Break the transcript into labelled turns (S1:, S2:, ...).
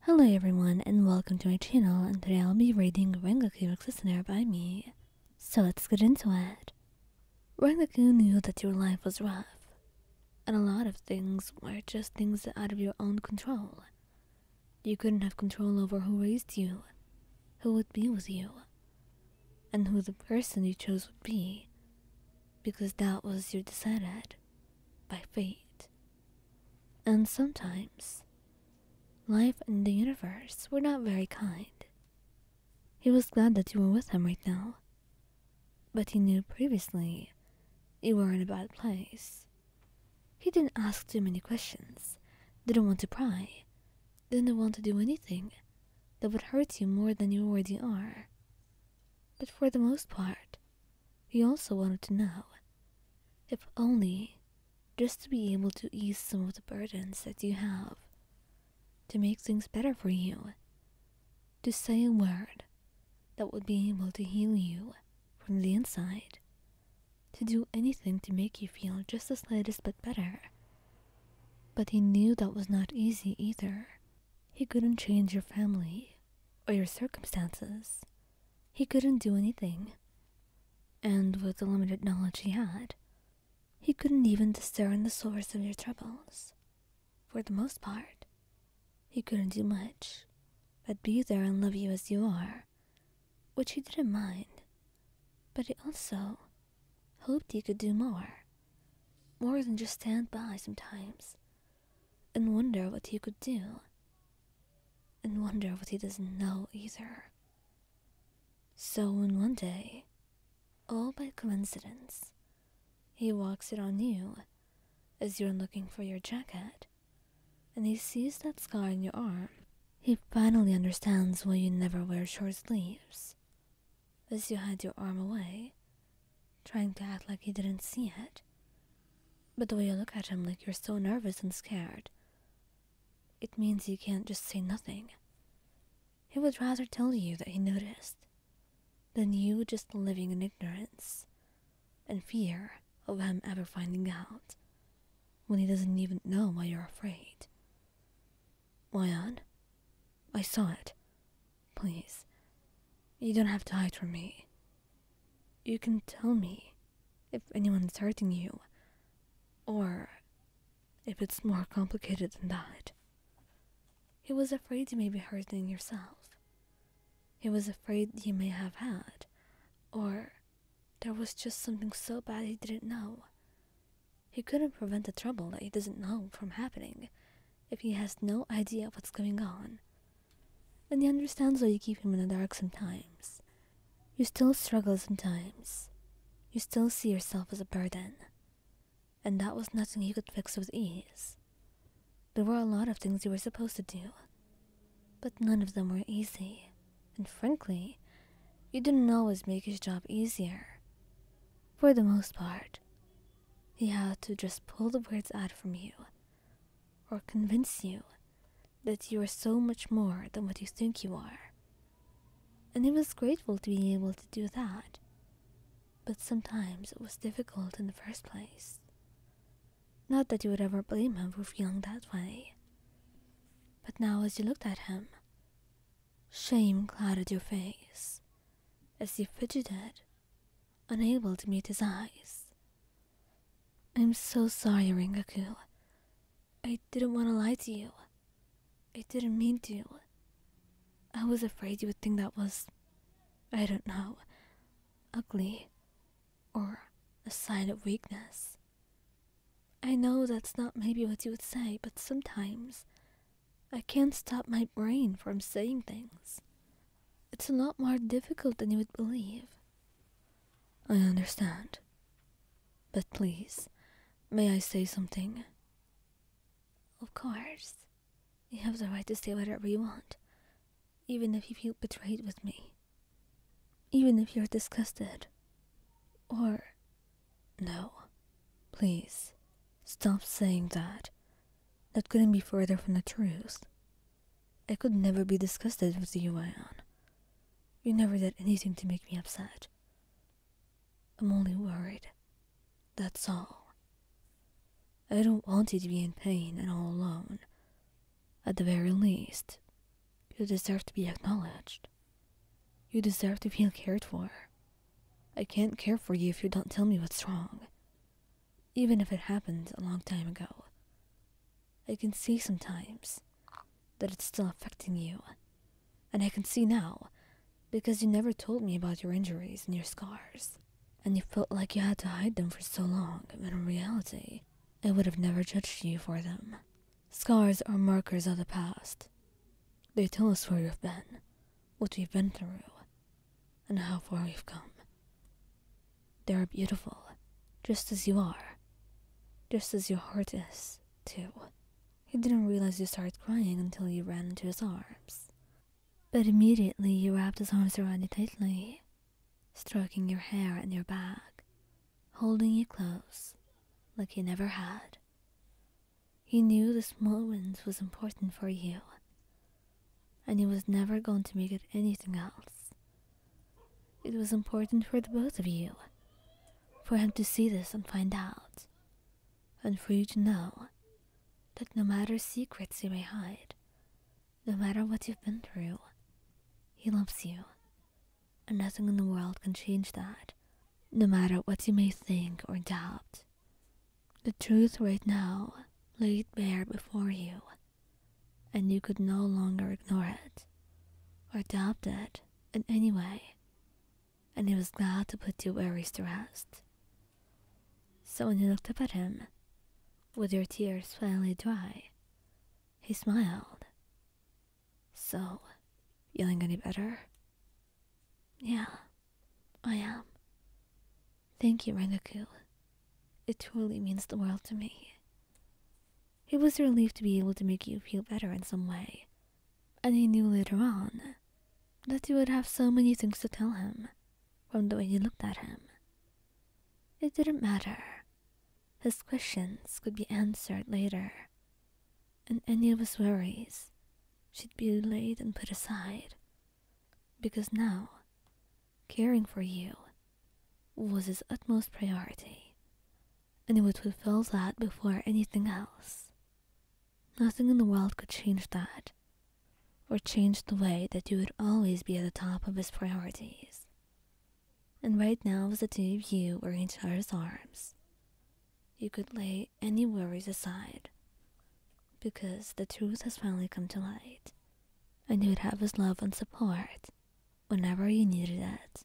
S1: Hello everyone and welcome to my channel and today I'll be reading Rengoku Executioner by me. So let's get into it. Rengoku knew that your life was rough, and a lot of things were just things out of your own control. You couldn't have control over who raised you, who would be with you, and who the person you chose would be, because that was your decided by fate. And sometimes, life and the universe were not very kind. He was glad that you were with him right now, but he knew previously you were in a bad place. He didn't ask too many questions, didn't want to pry, didn't want to do anything that would hurt you more than you already are. But for the most part, he also wanted to know, if only just to be able to ease some of the burdens that you have, to make things better for you, to say a word that would be able to heal you from the inside, to do anything to make you feel just the slightest bit better. But he knew that was not easy either. He couldn't change your family or your circumstances. He couldn't do anything. And with the limited knowledge he had, he couldn't even discern the source of your troubles. For the most part, he couldn't do much but be there and love you as you are, which he didn't mind. But he also hoped he could do more. More than just stand by sometimes and wonder what he could do, and wonder what he doesn't know either. So, one day, all by coincidence, he walks in on you as you're looking for your jacket, and he sees that scar on your arm. He finally understands why you never wear short sleeves, as you had your arm away, trying to act like he didn't see it. But the way you look at him like you're so nervous and scared, it means you can't just say nothing. He would rather tell you that he noticed than you just living in ignorance and fear of him ever finding out when he doesn't even know why you're afraid. Wyan, I saw it. Please, you don't have to hide from me. You can tell me if anyone is hurting you, or if it's more complicated than that. He was afraid you may be hurting yourself. He was afraid you may have had, or there was just something so bad he didn't know. He couldn't prevent the trouble that he doesn't know from happening if he has no idea what's going on. And he understands why you keep him in the dark sometimes. You still struggle sometimes. You still see yourself as a burden. And that was nothing you could fix with ease. There were a lot of things you were supposed to do, but none of them were easy. And frankly, you didn't always make his job easier. For the most part, he had to just pull the words out from you or convince you that you are so much more than what you think you are. And he was grateful to be able to do that, but sometimes it was difficult in the first place. Not that you would ever blame him for feeling that way. But now, as you looked at him, shame clouded your face as you fidgeted unable to meet his eyes. I'm so sorry, Ringaku. I didn't want to lie to you. I didn't mean to. I was afraid you would think that was, I don't know, ugly or a sign of weakness. I know that's not maybe what you would say, but sometimes I can't stop my brain from saying things. It's a lot more difficult than you would believe. I understand. But please, may I say something? Of course. You have the right to say whatever you want, even if you feel betrayed with me. Even if you're disgusted. Or. No. Please, stop saying that. That couldn't be further from the truth. I could never be disgusted with you, Ion. You never did anything to make me upset. I'm only worried. That's all. I don't want you to be in pain and all alone. At the very least, you deserve to be acknowledged. You deserve to feel cared for. I can't care for you if you don't tell me what's wrong even if it happened a long time ago. I can see sometimes that it's still affecting you, and I can see now because you never told me about your injuries and your scars, and you felt like you had to hide them for so long when in reality, I would have never judged you for them. Scars are markers of the past. They tell us where you have been, what you have been through, and how far we've come. They are beautiful, just as you are, just as your heart is, too. He didn't realize you started crying until you ran into his arms. But immediately he wrapped his arms around you tightly, stroking your hair and your back, holding you close like he never had. He knew this moment was important for you, and he was never going to make it anything else. It was important for the both of you, for him to see this and find out, and for you to know that no matter secrets you may hide, no matter what you've been through, he loves you, and nothing in the world can change that, no matter what you may think or doubt. The truth right now laid bare before you and you could no longer ignore it or doubt it in any way, and he was glad to put your worries to rest. So when you looked up at him, with your tears finally dry, he smiled. So, feeling any better? Yeah, I am. Thank you, Rengoku. It truly means the world to me. It was a relief to be able to make you feel better in some way. And he knew later on that he would have so many things to tell him from the way you looked at him. It didn't matter. His questions could be answered later, and any of his worries she'd be laid and put aside, because now caring for you was his utmost priority, and he would fulfill that before anything else. Nothing in the world could change that, or change the way that you would always be at the top of his priorities. And right now, with the two of you in each other's arms, you could lay any worries aside because the truth has finally come to light, and you would have his love and support whenever you needed it.